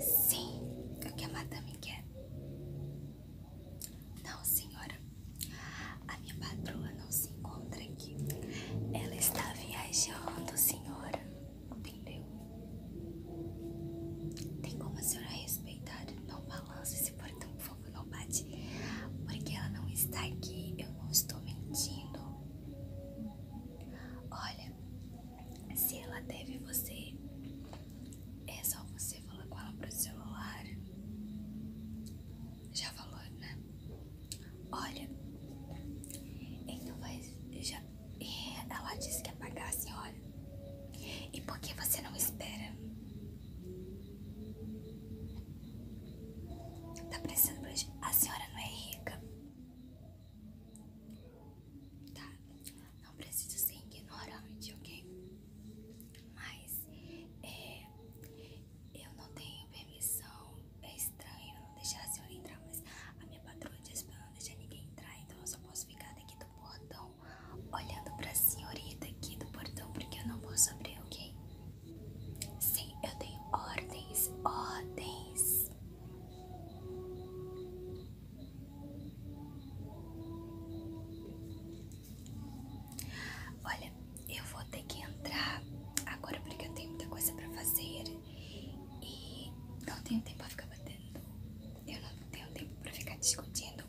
Sim, é o que a madame quer. Não, senhora. A minha patroa não se encontra aqui. Ela está viajando, senhora. Entendeu? Tem como a senhora respeitar? Não balance esse portão, por favor, não bate. Porque ela não está aqui. Eu não estou mentindo. Olha, se ela teve você, é só você falar com ela pro celular. Já falou, né? Olha, então vai. Já, é, ela disse que ia pagar a senhora. E por que você não espera? Tá precisando. A senhora não é rica. Tá? Não preciso ser ignorante, ok? Mas é, eu não tenho permissão. É estranho não deixar a senhora entrar, mas a minha patroa diz tá pra não deixar ninguém entrar, então eu só posso ficar daqui do portão olhando pra senhorita aqui do portão porque eu não posso abrir, ok? Sim, eu tenho ordens, ordens. Olha, eu vou ter que entrar agora porque eu tenho muita coisa pra fazer e não tenho tempo pra ficar batendo. Eu não tenho tempo pra ficar discutindo.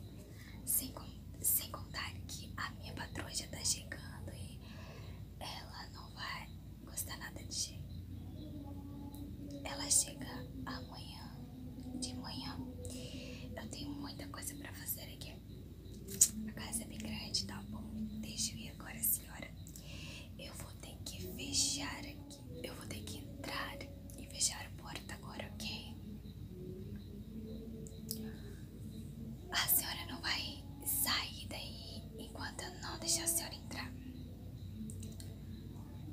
Sem, sem contar que a minha patroa já tá chegando e ela não vai gosta nada de gelo. Ela chega amanhã de manhã. Eu tenho muita coisa pra fazer aqui. A casa é bem grande, tá bom? Deixa eu ir agora, senhora. Eu vou ter que fechar aqui. Eu vou ter que entrar e fechar a porta agora, ok? A senhora não vai sair daí enquanto eu não deixar a senhora entrar.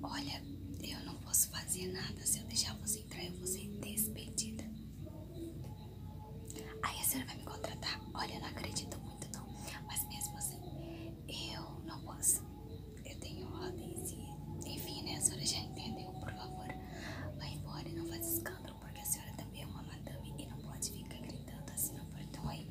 Olha, eu não posso fazer nada. Se eu deixar você entrar, eu vou ser despedida. Aí a senhora vai me contratar. Olha, eu não acredito muito, não. Mas mesmo assim, eu não posso. Eu tenho ordens e. Enfim, né? A senhora já entendeu. Por favor, vai embora e não faz escândalo, porque a senhora também é uma madame e não pode ficar gritando assim no portão aí.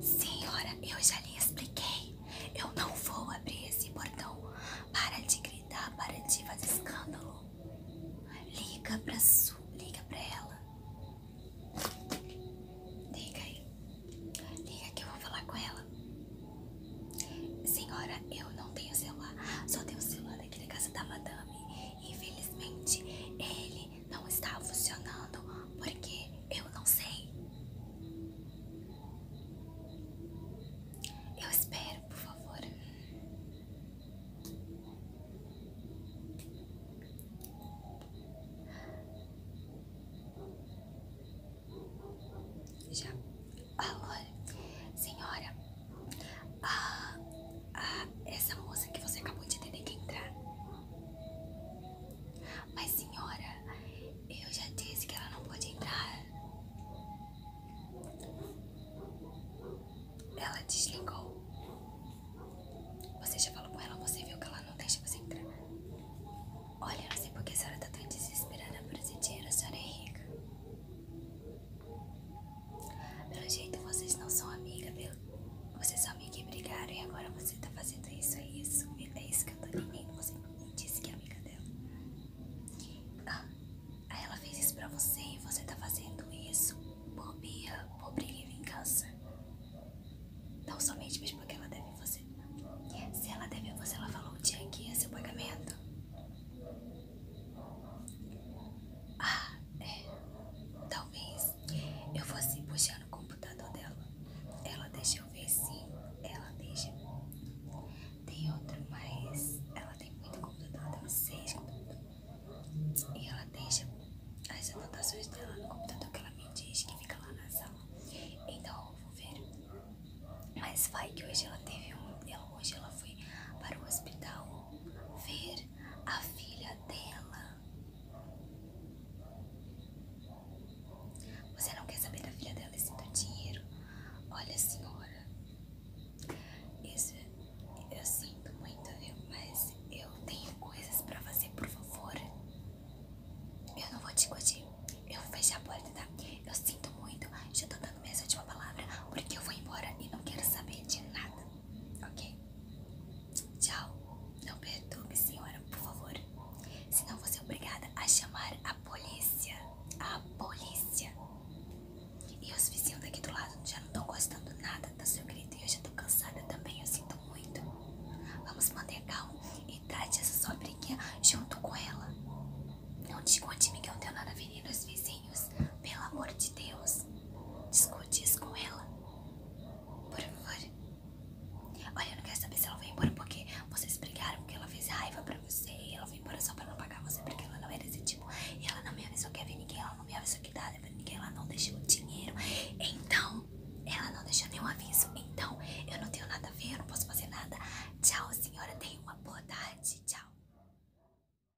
Senhora, eu já lhe expliquei. Eu não vou abrir esse portão. Para de gritar, para de fazer escândalo. Liga pra sua. Liga pra ela. Liga aí. Liga que eu vou falar com ela. Senhora, eu não tenho celular. Só tenho celular daqui da casa da madame. Infelizmente, ele não está funcionando porque eu não sei. Eu espero, por favor. Já. Alô, senhora. Ah, ah, essa moça que você acabou de ter que entrar. Mas senhora, eu já disse que ela não pode entrar. Ela desligou. Você já falou com ela, você viu que ela não deixa você entrar. Olha, eu não sei porque a senhora tá tão desesperada por esse dinheiro, a senhora é rica. Pelo jeito vocês não são amigas, pelo... vocês são amigas e brigaram e agora você tá fazendo isso e é isso. É isso que eu tô entendendo. Você disse que é amiga dela. Ah, ela fez isso pra você e você tá fazendo isso por birra, por briga e vingança. Não somente mesmo que ela deve você. Se ela deve você, ela falou o dia aqui é seu pagamento. Ah, é. Talvez eu fosse puxar no computador dela. Ela deixa eu ver sim. Ela deixa. Tem outro, mas ela tem muito computador. Ela tem seis computadores. E ela deixa as anotações dela no computador que ela me diz que fica lá na sala. Então eu vou ver. Mas vai que hoje ela teve um. Ela, hoje ela foi para o hospital ver a filha dela. Você não quer saber da filha dela e sinto do dinheiro? Olha, senhora, isso eu sinto muito, viu? Mas eu tenho coisas pra fazer, por favor. Eu não vou te discutir. Eu vou fechar a porta, tá? Eu sinto muito. Já tô dando minha última palavra porque eu vou embora e não quero saber de nada ok? Tchau. Não perturbe, senhora, por favor. Senão vou ser é obrigada a chamar a polícia. A polícia. E os vizinhos daqui do lado já não estão gostando nada do seu grito. E eu já estou cansada também, eu sinto muito. Vamos manter calmo e trate essa sua briguinha junto com ela. Não desconte-me que eu não tenho nada a ver vizinhos pelo amor de Deus. Discute isso com ela. Por favor. Olha, eu não quero saber se ela foi embora porque vocês brigaram, porque ela fez raiva pra você ela foi embora só pra não pagar você, porque ela não era desse tipo. E ela não me avisou que ia vir ninguém, ela não me avisou que dava pra ninguém, ela não deixou dinheiro. Então, ela não deixou nenhum aviso. Então, eu não tenho nada a ver, eu não posso fazer nada. Tchau, senhora. Tenha uma boa tarde. Tchau.